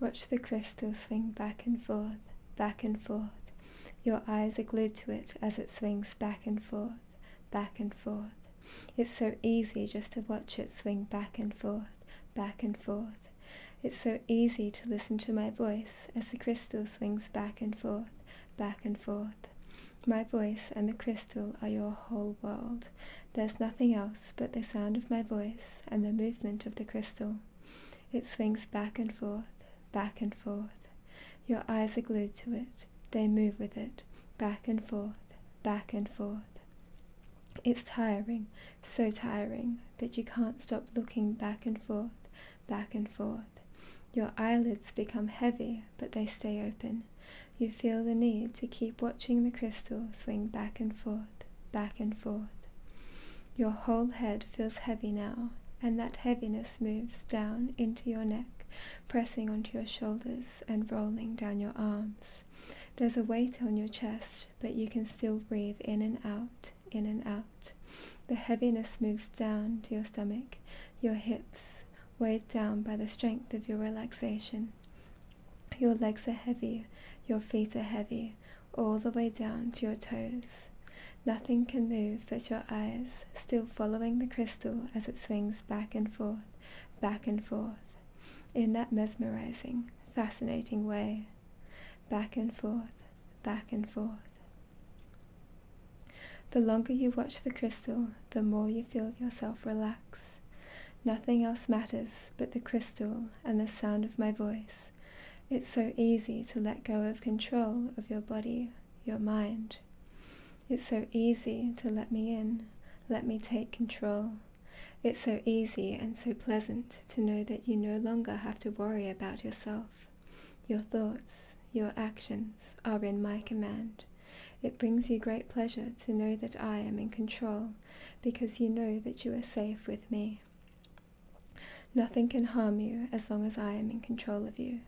Watch the crystal swing back and forth, back and forth. Your eyes are glued to it as it swings back and forth, back and forth. It's so easy just to watch it swing back and forth, back and forth. It's so easy to listen to my voice as the crystal swings back and forth, back and forth. My voice and the crystal are your whole world. There's nothing else but the sound of my voice and the movement of the crystal. It swings back and forth, back and forth. Your eyes are glued to it. They move with it, back and forth, back and forth. It's tiring, so tiring, but you can't stop looking back and forth, back and forth. Your eyelids become heavy, but they stay open. You feel the need to keep watching the crystal swing back and forth, back and forth. Your whole head feels heavy now, and that heaviness moves down into your neck, pressing onto your shoulders and rolling down your arms. There's a weight on your chest, but you can still breathe in and out, in and out. The heaviness moves down to your stomach, your hips, weighed down by the strength of your relaxation. Your legs are heavy, your feet are heavy, all the way down to your toes. Nothing can move but your eyes, still following the crystal as it swings back and forth, back and forth, in that mesmerizing, fascinating way. Back and forth, back and forth. The longer you watch the crystal, the more you feel yourself relax. Nothing else matters but the crystal and the sound of my voice. It's so easy to let go of control of your body, your mind. It's so easy to let me in, let me take control. It's so easy and so pleasant to know that you no longer have to worry about yourself. Your thoughts, your actions are in my command. It brings you great pleasure to know that I am in control because you know that you are safe with me. Nothing can harm you as long as I am in control of you.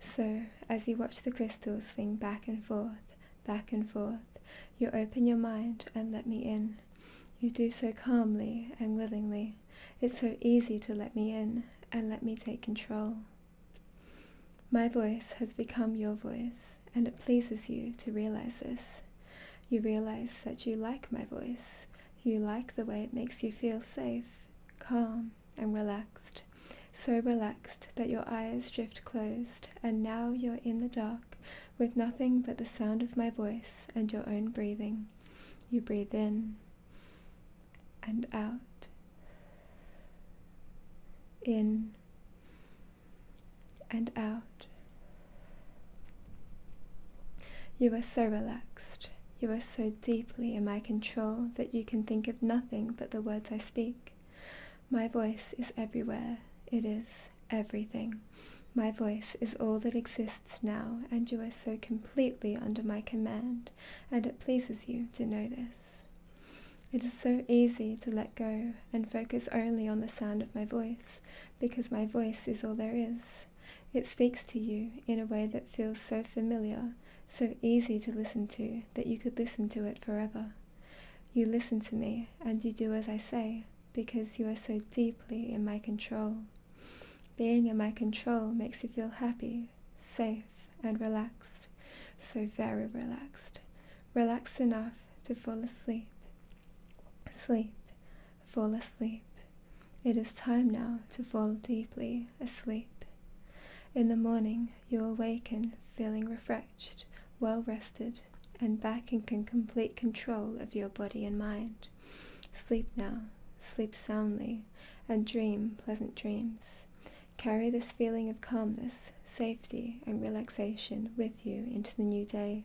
So, as you watch the crystals swing back and forth, back and forth, you open your mind and let me in. You do so calmly and willingly. It's so easy to let me in and let me take control. My voice has become your voice, and it pleases you to realize this you realize that you like my voice. You like the way it makes you feel safe, calm, and relaxed. So relaxed that your eyes drift closed, and now you're in the dark with nothing but the sound of my voice and your own breathing. You breathe in and out, in and out. You are so relaxed, you are so deeply in my control that you can think of nothing but the words I speak. My voice is everywhere, it is everything. My voice is all that exists now, and you are so completely under my command, and it pleases you to know this. It is so easy to let go and focus only on the sound of my voice, because my voice is all there is. It speaks to you in a way that feels so familiar, so easy to listen to, that you could listen to it forever. You listen to me, and you do as I say, because you are so deeply in my control. Being in my control makes you feel happy, safe, and relaxed, so very relaxed, relaxed enough to fall asleep Sleep, fall asleep. It is time now to fall deeply asleep. In the morning, you awaken feeling refreshed, well rested, and back in complete control of your body and mind. Sleep now, sleep soundly, and dream pleasant dreams. Carry this feeling of calmness, safety, and relaxation with you into the new day.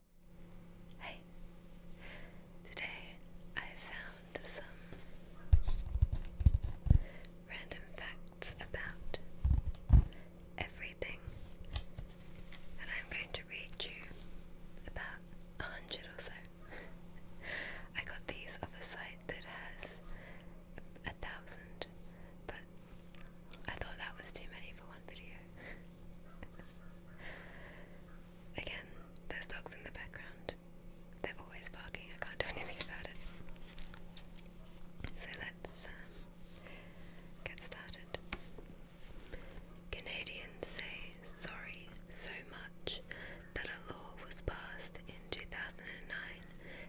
Hey, today I found some random facts about everything, and I'm going to read you about a hundred or so. I got these off a site that has a thousand, but I thought that was too many for one video. Again, there's dogs in the background. They're always barking, I can't do anything about it. So let's um, get started. Canadians say sorry so much that a law was passed in 2009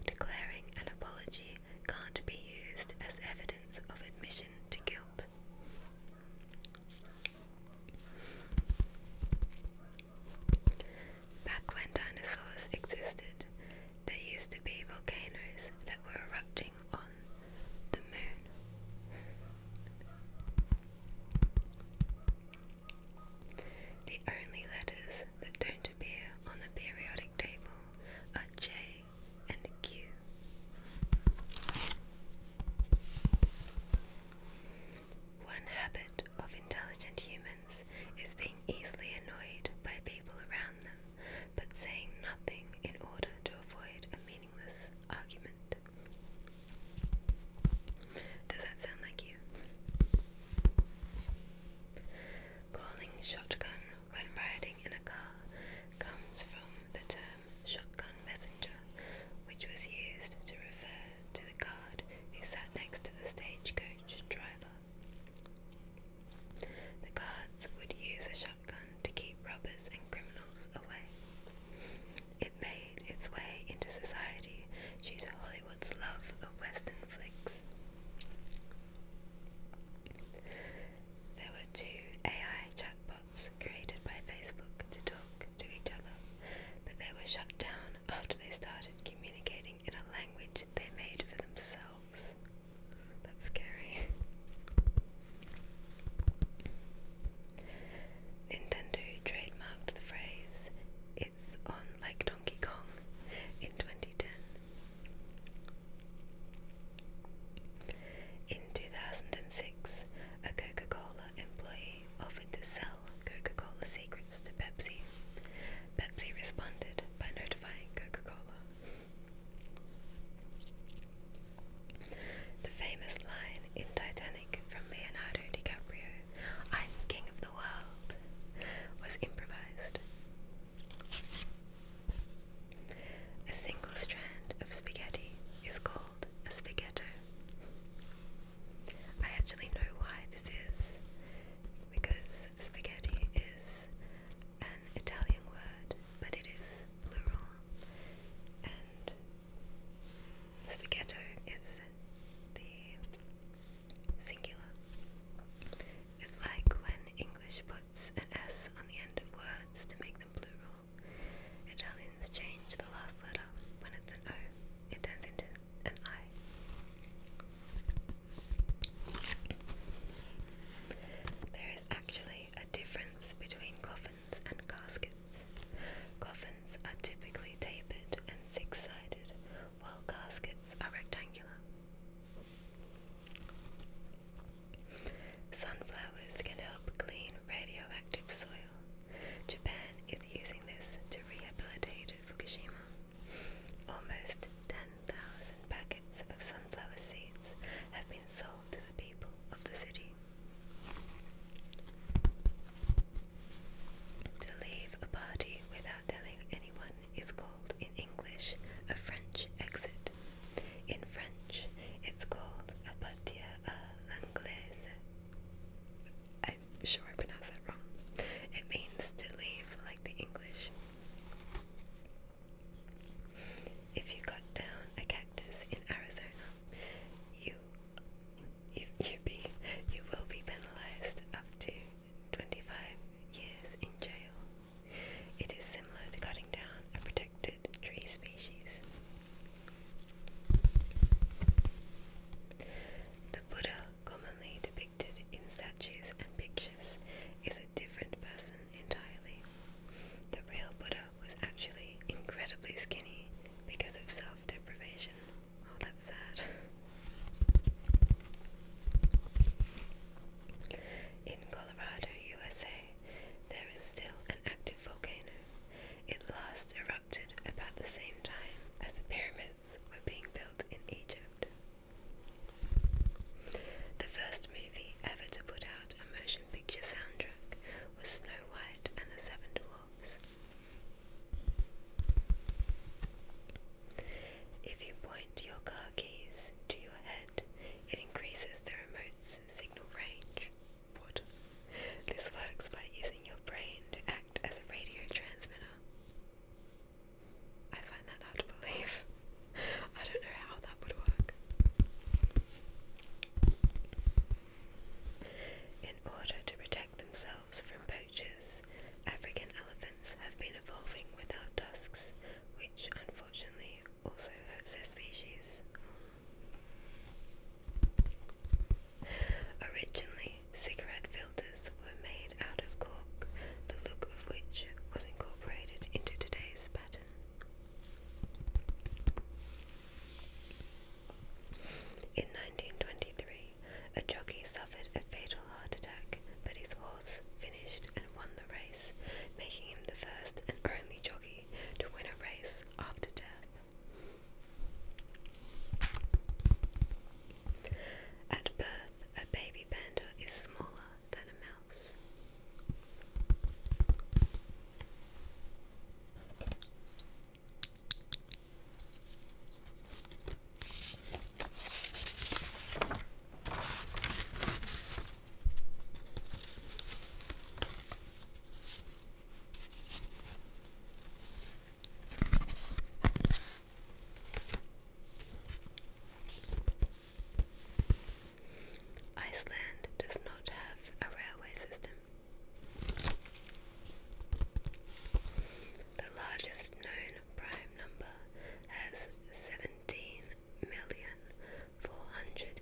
declaring an apology can't be used as evidence of admission to guilt. Back when dinosaurs existed, there used to be volcanoes that were erupting on the moon. The only letters that don't appear on the periodic table are J and Q. One habit of intelligent humans is being easily annoyed by people around them, but saying nothing in order to avoid a meaningless argument. Does that sound like you? Calling shotgun when riding in a car comes from the term shotgun messenger, which was used to refer to the guard who sat next to the stagecoach driver. The guards would use a shotgun to keep robbers and criminals away. It made its way into society due to Hollywood's love of Western flicks. There were two AI chatbots bots created by Facebook to talk to each other, but they were shut down after they started communicating in a language they made for themselves. That's scary. Nintendo trademarked the phrase, it's on like Donkey Kong, in 2010. In 2006, a Coca Cola employee offered to sell Coca-Cola secrets to Pepsi. Pepsi responded by notifying Coca-Cola. The famous line in Titanic from Leonardo DiCaprio, I'm king of the world, was improvised. A single strand of spaghetti is called a spaghetto. I actually know why this is because spaghetti is an Italian word, but it is plural, and spaghetto is the singular. It's like when English puts an S on the end of words to make them plural. Italians change the last letter. When it's an O, it turns into an I. There is actually a difference between coffins and caskets. Coffins are typically tapered and six sided, while caskets are rectangular. Sunflowers can help clean radioactive soil. Japan is using this to rehabilitate Fukushima. Almost 10,000 packets of sunflower seeds have been sold to the people of the city. To leave a party without telling anyone is called in English a French exit. In French, it's called a partir à l'anglaise. I'm sure I pronounced that wrong. It means to leave like the English. If you cut down a cactus in Arizona, you you you be you will be penalized up to 25 years in jail. It is similar to cutting down a protected tree species. The Buddha, commonly depicted in statues and pictures, is a different person entirely. The real Buddha was actually incredibly skinny because of self deprivation. Oh, that's sad. In Colorado, USA, there is still an active volcano. It last erupted about the same time as the pyramids were being built in Egypt. The first movie ever to put out a motion picture soundtrack was Snow White and the Seven Dwarfs. If you point your car keys to your head, it increases the remote's signal range. This works by using your brain to act as a radio transmitter. I find that hard to believe. I don't know how that would work. In order to protect themselves from poachers, African elephants have been evolving without tusks, which unfortunately also hurts their species. Originally, cigarette filters were made out of cork, the look of which was incorporated into today's pattern. In 1923, a jockey suffered a fatal heart attack, but his horse finished and won the race, making him the first and only jockey to win a race after death. At birth, a baby panda is smaller than a mouse. Iceland does not have a railway system. The largest known prime number has seventeen million four hundred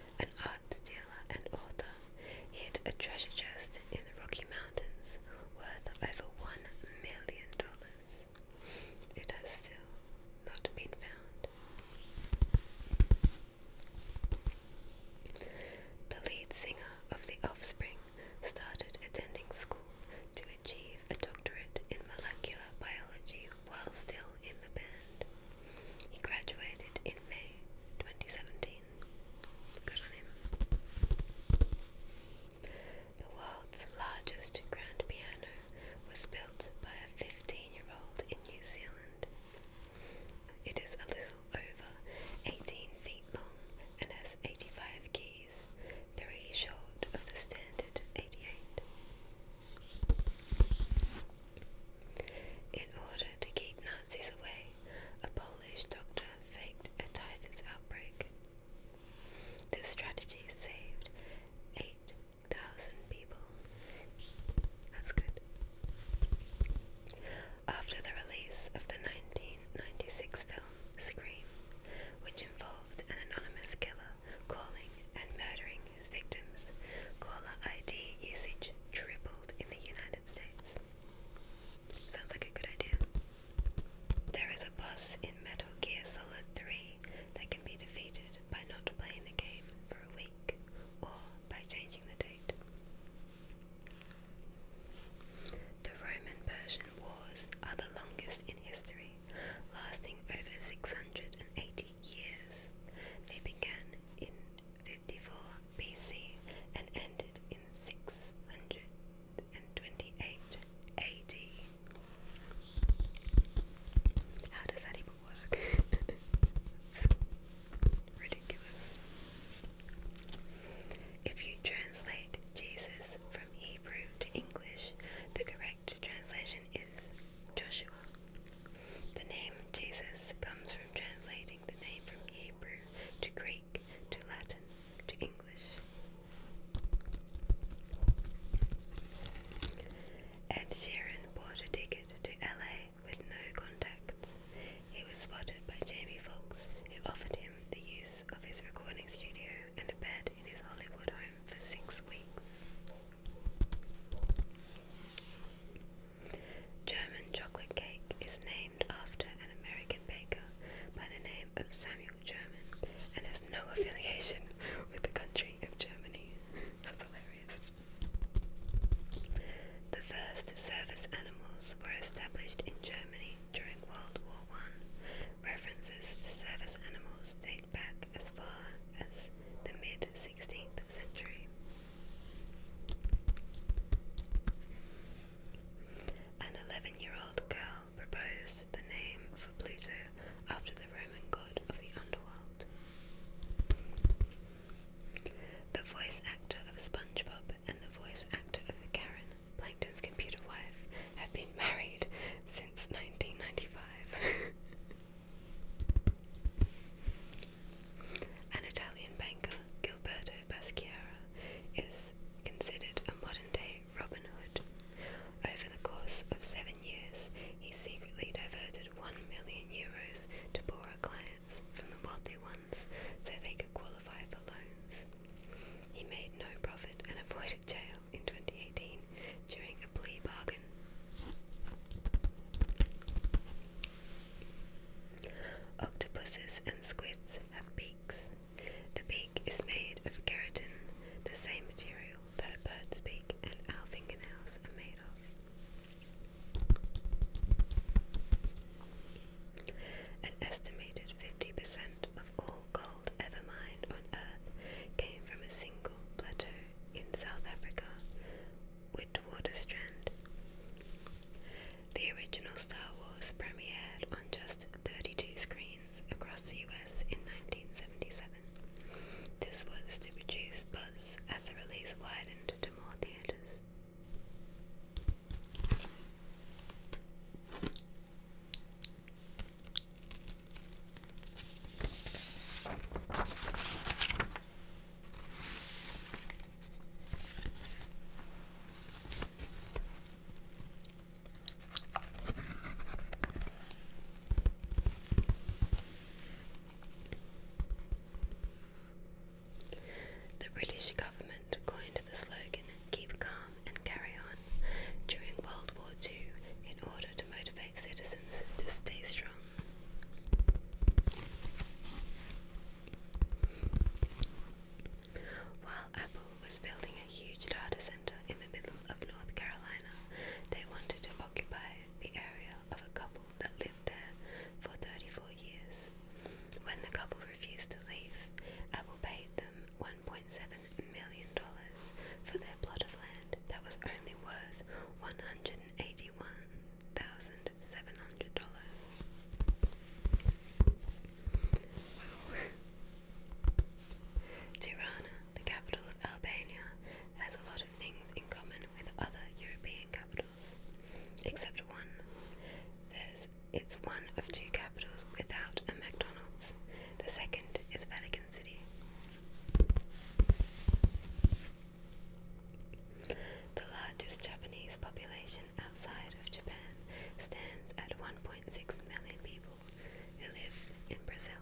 an art dealer and author, hid a treasure chest in the Rocky Mountains worth over one million dollars. It has still not been found. The lead singer of The Offspring started attending school to achieve a doctorate in molecular biology while still in the band. He graduated in May 2017 the world's largest grand piano was built by a 15 year old in New Zealand. It is a little over 18 feet long and has 85 keys, three short of the standard 88. In order to keep Nazis away, a Polish doctor faked a typhus outbreak. This strategy saved 8,000 people. That's good. After the release of the 1996 film Scream, which involved an anonymous killer calling and murdering his victims, caller ID usage tripled in the United Sounds like a good idea. There is a boss in Metal Gear Solid 3 that can be defeated by not playing the game for a week or by changing the date. The Roman Persian Wars are the longest in history, lasting over 680 years. They began in 54 BC and ended in 628 AD. How does that even work? ridiculous. If you translate Jesus from Hebrew to English, the correct translation is Joshua. The name Jesus comes from translating the name from Hebrew to Greek, to Latin, to English. Ed Sheeran bought a ticket to LA with no contacts. He was spotted by Jamie Foxx, who offered him the use of his recording studio and a bed in his Hollywood home for six weeks. German chocolate cake is named after an American baker by the name of Samuel German and has no affiliation with the country of Germany. That's hilarious. The first service animals were established in Germany during World War One. References to service animals date back as far as the mid 16th century. An 11 year old girl proposed the name for Pluto after the Roman god of the underworld. The voice actor of SpongeBob and the voice actor of Karen, Plankton's computer wife, have been married since 1995. An Italian banker, Gilberto Basquiat is considered a modern-day Robin Hood. Over the course of seven years, he secretly diverted one million euros to poorer clients from the wealthy ones so they could qualify for loans. He made no profit and avoided jail in 2018 during a plea bargain. Octopuses and squids have beaks. The beak is made of keratin, the same material that a bird's beak and our fingernails are made of. An estimated 50% of all gold ever mined on Earth came from a single plateau in South Africa, Witwater Strand. The original Star Wars premiered on just 32 screens across the US in 1977. This was to produce buzz as the release widened to more theatres. The British government coined the slogan "Keep calm and carry on" during World War II in order to motivate citizens to stay strong. While Apple was building a huge data center in the middle of North Carolina, they wanted to occupy the area of a couple that lived there for 34 years. When the couple refused to leave, Apple paid them $1.7 million for their plot of land that was only worth $181,000 seven hundred dollars. Wow. Tirana, the capital of Albania, has a lot of things in common with other European capitals, except one. There's, it's one of two capitals without a McDonald's. The second is Vatican City. The largest Japanese population outside of Japan stands at 1.6 million people who live in Brazil.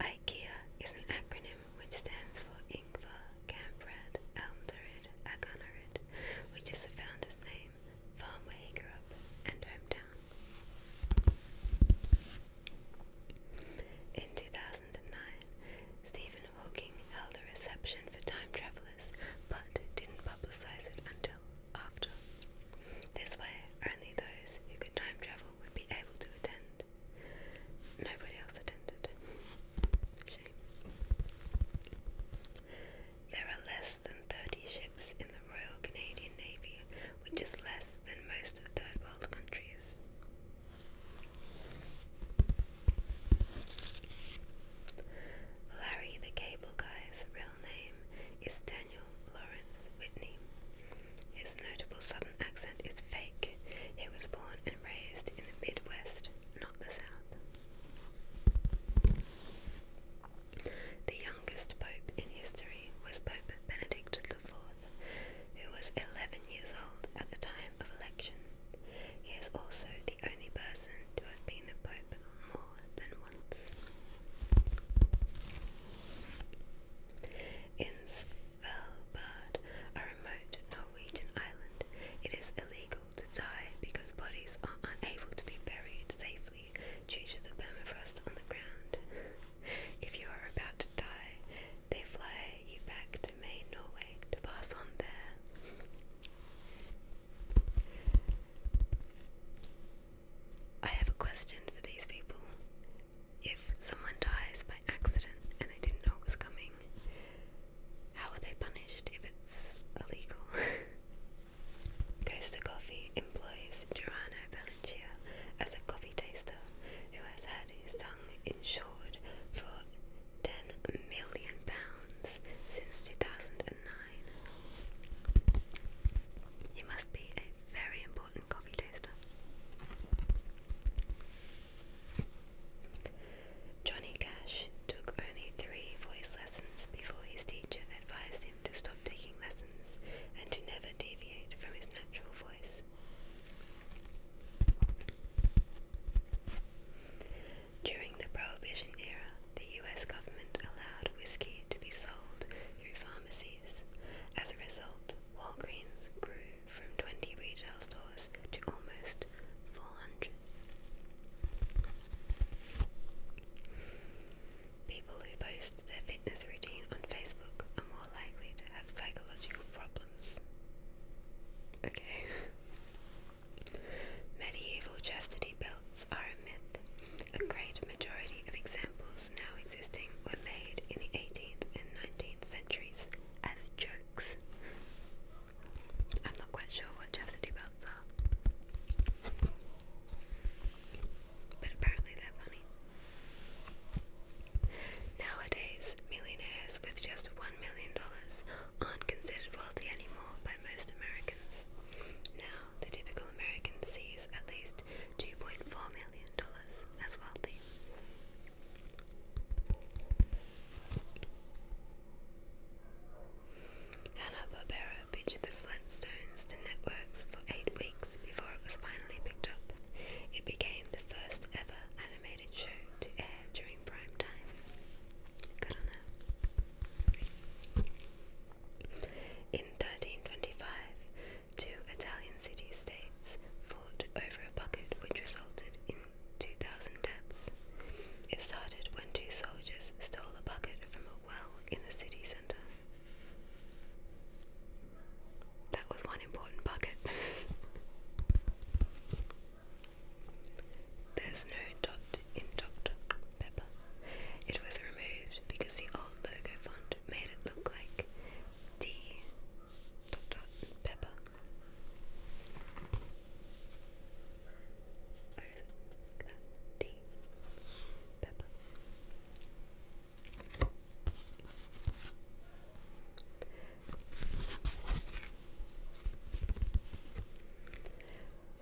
IKEA is an acronym which stands for Ingvar Kamprad Almderid Agonarid, which is the founder's name, farm where he grew up, and hometown. In 2009, Stephen Hawking held a reception for time travelers but didn't publicize it until after. This way, only those who could time travel would be able to attend. Nobody else attended. Shame. There are less than 30 ships in the Royal Canadian Navy, which is less than most third world countries. Larry the Cable Guy's real name is Daniel Lawrence Whitney. His notable southern accent is fake. He was born and raised in the Midwest, not the South. The youngest pope in history was Pope Benedict IV who was 11 years old at the time of election. He is also the only person to have been the Pope more than once. In Svalbard, a remote Norwegian island, it is illegal to die because bodies are unable to be buried safely due to the permafrost on the ground. If you are about to die, they fly you back to Maine, Norway to pass on there. I have a question for these people. If someone dies by accident and they didn't know it was coming, how are they punished if it's illegal? Costa Coffee employs Giorano as a coffee taster who has had his tongue insured for ten million pounds since 2009. He must be a very important coffee taster. Johnny Cash took only three voice lessons before his teacher advised him to stop taking lessons and to never deviate from his natural voice. During the Prohibition era, the U.S. government allowed whiskey to be sold through pharmacies. As a result, Walgreens grew from 20 retail stores to almost 400. People who post their fitness routine on Facebook are more likely to have psychological problems. Okay. Medieval chastity belts are a myth. A great majority of examples now existing were made in the 18th and 19th centuries as jokes. I'm not quite sure what chastity belts are, but apparently they're funny. Nowadays, millionaires with just $1 million aren't considered wealthy anymore by most Americans. Now, the typical American sees at least $2.4 million as wealthy. Hanna-Barbera pitched the Flintstones to networks for eight weeks before it was finally picked up. It became the first ever animated show to air during prime time. Good on her. In 1325, two Italian city-states fought over a bucket which resulted in 2,000 deaths. It started when two soldiers stole a bucket from a well in the city centre. That was one important bucket. There's no dot in Dr. Pepper. It was removed because the old logo font made it look like D. Dot, dot, Pepper. Where is it? That D. Pepper.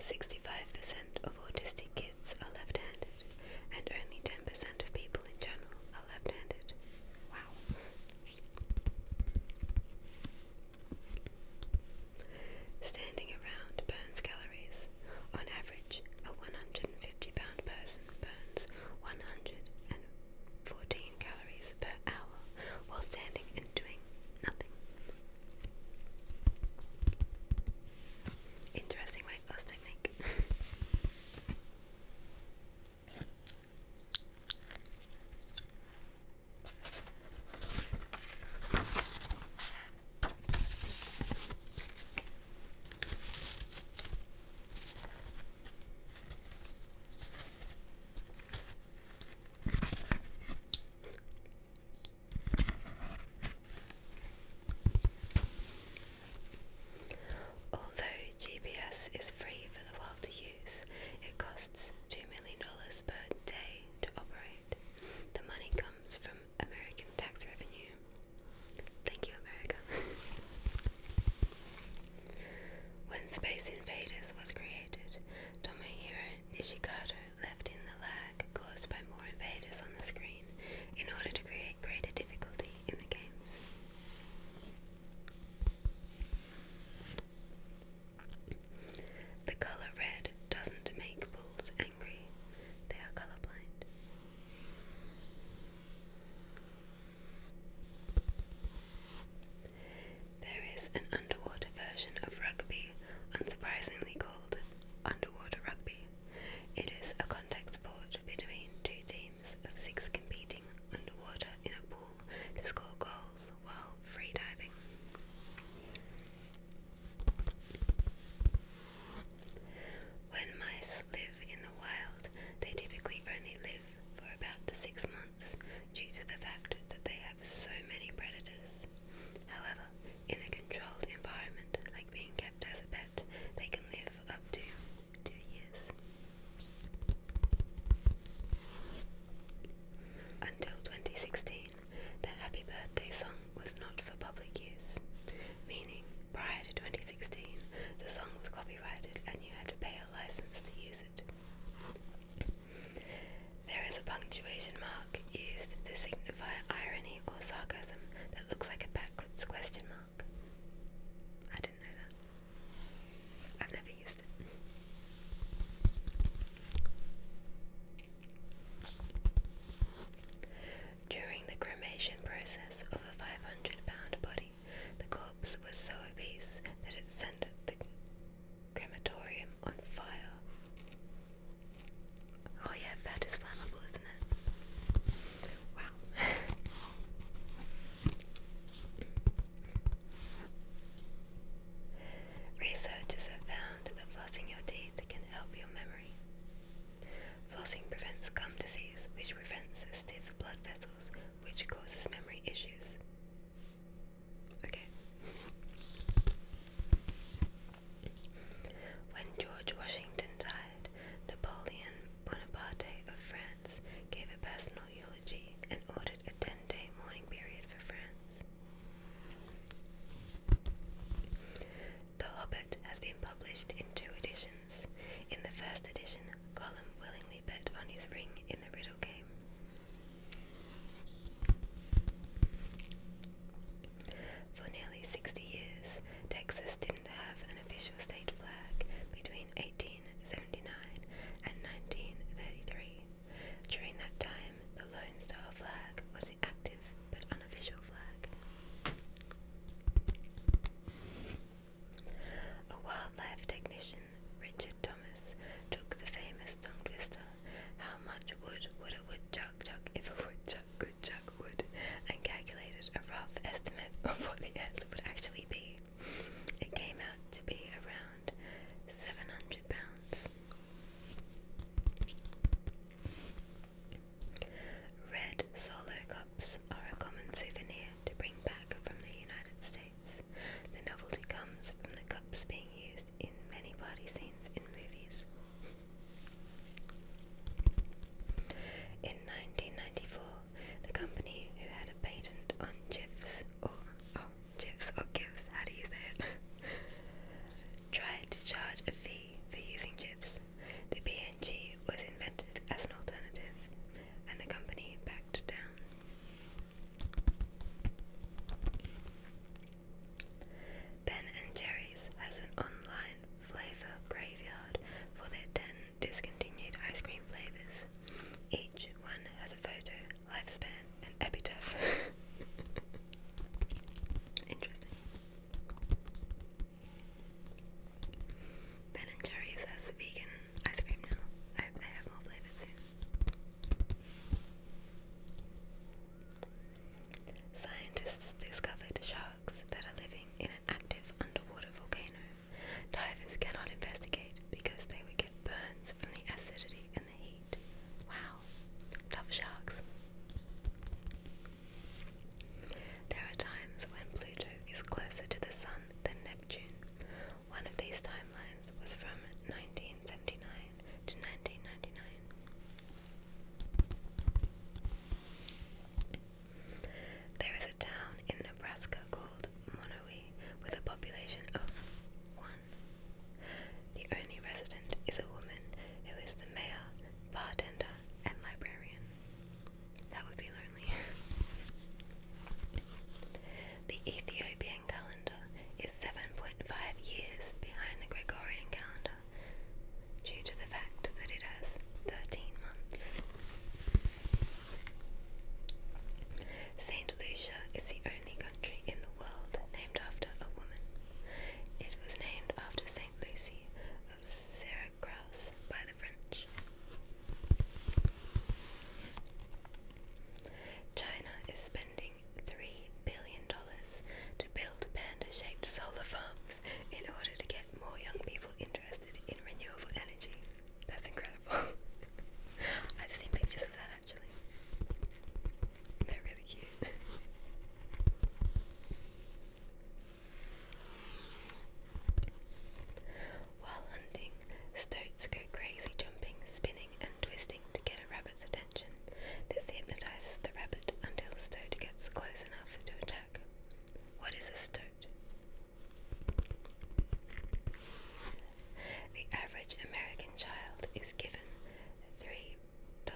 Sixty-five percent of autistic kids are left-handed, and only ten percent of people in general are left-handed. Wow. Standing around burns calories. On average, a 100 50 pounds person burns 114 calories per hour while standing and doing nothing. Interesting weight loss technique. Although GPS is free for the world to use, it costs $2 million per day to operate. The money comes from American tax revenue. Thank you, America. when Space Invaders was created, Tomohiro Nishikado left in the lag caused by more invaders on the screen in order to create greater difficulty in the games. The colour red doesn't make bulls angry, they are colourblind. There is an underwater version of rugby, unsurprisingly called underwater rugby. It is a contact sport between two teams of six competing underwater in a pool to score goals while free diving. When mice live in the wild, they typically only live for about six months due to the fact that they have so many predators. However, in a controlled environment, like being kept as a pet, they can live up to two years. Until 2016, the Happy Birthday song was not for public use, meaning prior to 2016, the song was copyrighted and you had to pay a license to use it. There is a punctuation mark used to signify irony or sarcasm that looks like a backwards question mark. I didn't know that. I've never used it. During the cremation process of a 500 pound body, the corpse was so obese that it sent the crematorium on fire. Oh, yeah, fat is flammable, isn't it? Wow. Researchers have found that flossing your teeth can help your memory. Flossing prevents gum disease, which prevents stiff blood vessels which causes memory issues. Okay. When George Washington died, Napoleon Bonaparte of France gave a personal eulogy and ordered a 10 day mourning period for France. The Hobbit has been published in two editions. In the first edition, Colum willingly bet on his ring in the riddle game. For nearly 60 years, Texas didn't have an official state flag between 1879 and 1933. During that time, the Lone Star flag was the active but unofficial flag. A wildlife technician, Richard Thomas, took the famous tongue twister, how much wood would a woodchuck chuck if a woodchuck could chuck wood, and calculated a rough estimate of what the answer would actually be. It came out to be around 700 pounds. Red Solo cup are a common souvenir to bring back from the United States. The novelty comes from the cups being used in many party scenes in movies. In 1994, the company who had a patent on GIFs, or oh, or GIFs, how do you say it? tried to charge a fee for using GIFs. The PNG was invented as an alternative, and the company backed down. Ben and Jerry's has an online flavor graveyard for their 10 discontinued ice cream flavors. Each one has a photo, lifespan, and epitaph. Interesting. Ben and Jerry's has vegan ice cream now. I hope they have more flavors soon. Scientists discovered sharks that are living in an active underwater volcano. Divers cannot investigate because they would get burns from the acidity and the heat. Wow, tough sharks. There are times when Pluto is closer to the sun than Neptune. One of these timelines was from 1979 to 1999. There is a town in Nebraska called Monowee with a population of one. The only resident is a woman who is the mayor, bartender, and librarian. That would be lonely. the Ethiopian calendar is 7.5 years behind the Gregorian calendar due to the fact that it has 13 months. St. Lucia is the only country in the world named after a woman. It was named after St. Lucy of Syria. Cross by the French. China is spending $3 billion to build panda shaped solar farms in order to get more young people interested in renewable energy. That's incredible. I've seen pictures of that actually. They're really cute. While hunting, stoats go crazy jumping, spinning, and twisting to get a rabbit's attention. This hypnotizes the rabbit until the stoat gets close enough to attack. What is a stoat? The average American child is given $3.70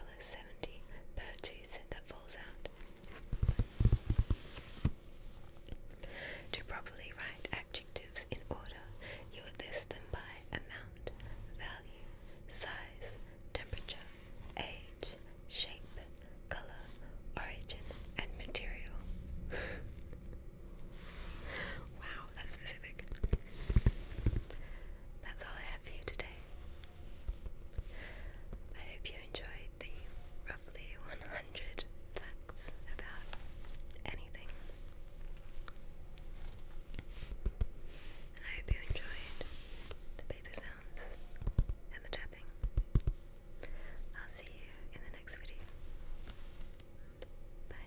per tooth that falls out. To properly write adjectives in order, you list them by amount, value, size, temperature, age, shape, color, origin, and material. wow, that's specific. That's all I have for you today. I hope you enjoyed the roughly 100 hundred facts about anything. And I hope you enjoyed the paper sounds and the tapping. I'll see you in the next video. Bye.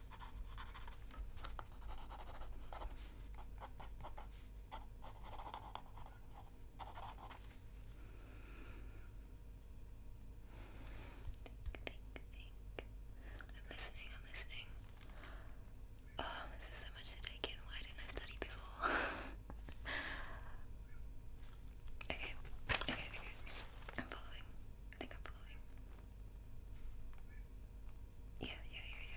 think, think. I'm listening, I'm listening. Oh, this is so much to take in. Why didn't I study before? okay, okay, okay. I'm following. I think I'm following. Yeah, yeah, yeah, yeah.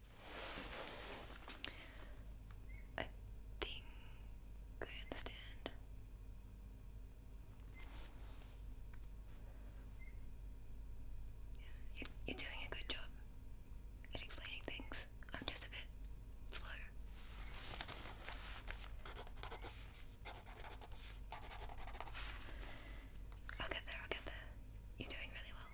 I think I understand. you're doing a good job at explaining things. I'm just a bit slow. I'll get there, I'll get there. You're doing really well.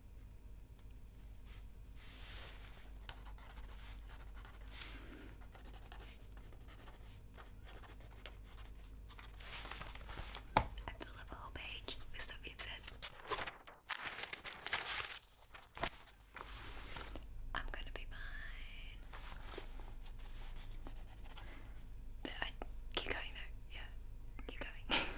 I fill up a whole page with stuff you've said. I'm gonna be fine. But I keep going though, yeah. Keep going.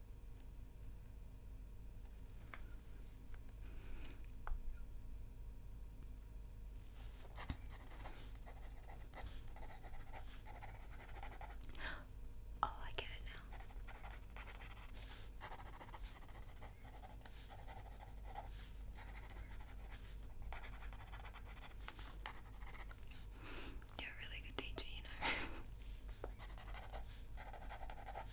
Oh, I get it now. You're a really good teacher, you know.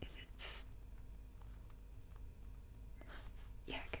if it's yeah, okay.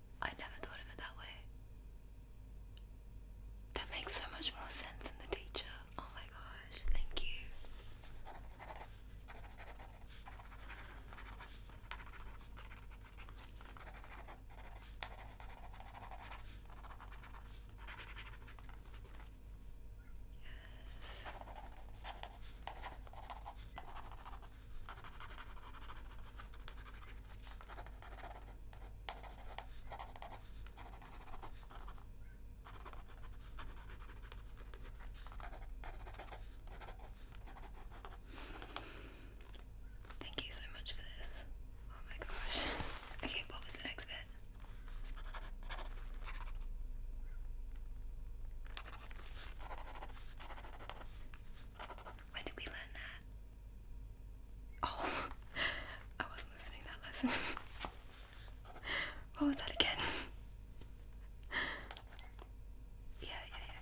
I never thought of it that way. That makes so much more sense than the teacher. Oh my gosh, thank you. Thank you so much for this. Oh my gosh. Okay, what was the next bit? When did we learn that? Oh, I wasn't listening that lesson. what was that again? yeah, yeah, yeah.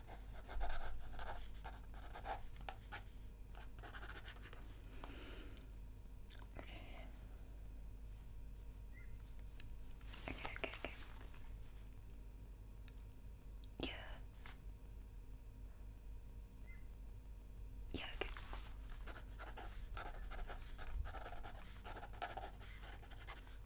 Okay. Okay, okay, Yeah. Yeah, okay.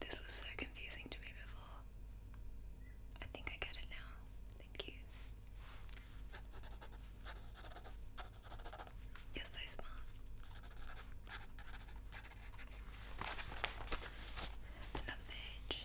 This was so confusing to me before. I think I get it now. Thank you. You're so smart. Another page.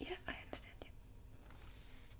Yeah, I understand you.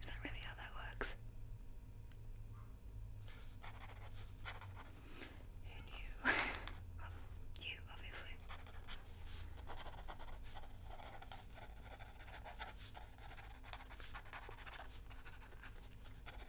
Is that really how that works? Who knew? you, obviously.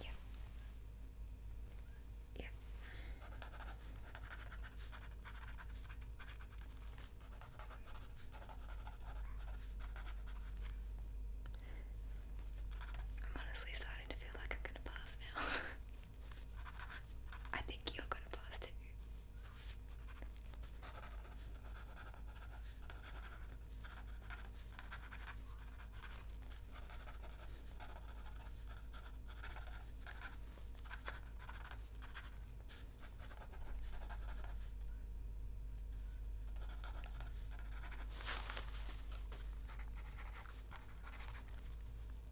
Yep. Yep. I'm honestly starting to feel like I'm gonna pass now. I think you're gonna pass too.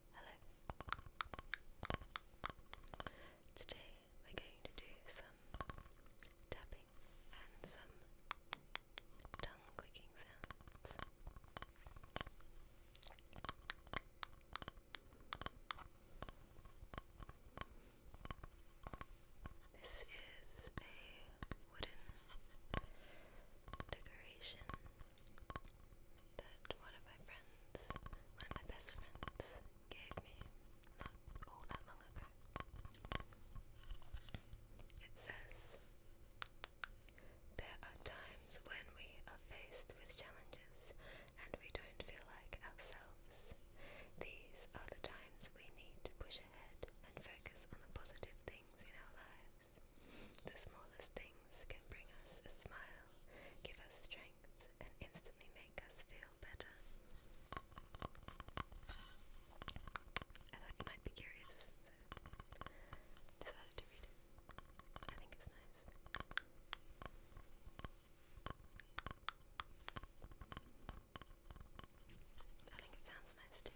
Hello. Today we're going to do some tapping and some tongue clicking sounds. This is a wooden decoration that one of my friends, one of my best friends, gave me not all that long ago. It says, There are times when we are faced with challenges and we don't feel like ourselves. These are the times we need to push ahead and focus on the positive things in our lives. The smallest thing things can bring us a smile, give us strength, and instantly make us feel better. I thought you might be curious, so decided to read it. I think it's nice. I think it sounds nice too.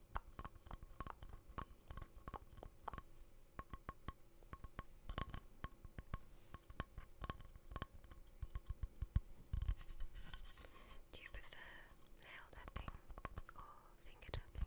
Do you prefer nail tapping or finger tapping?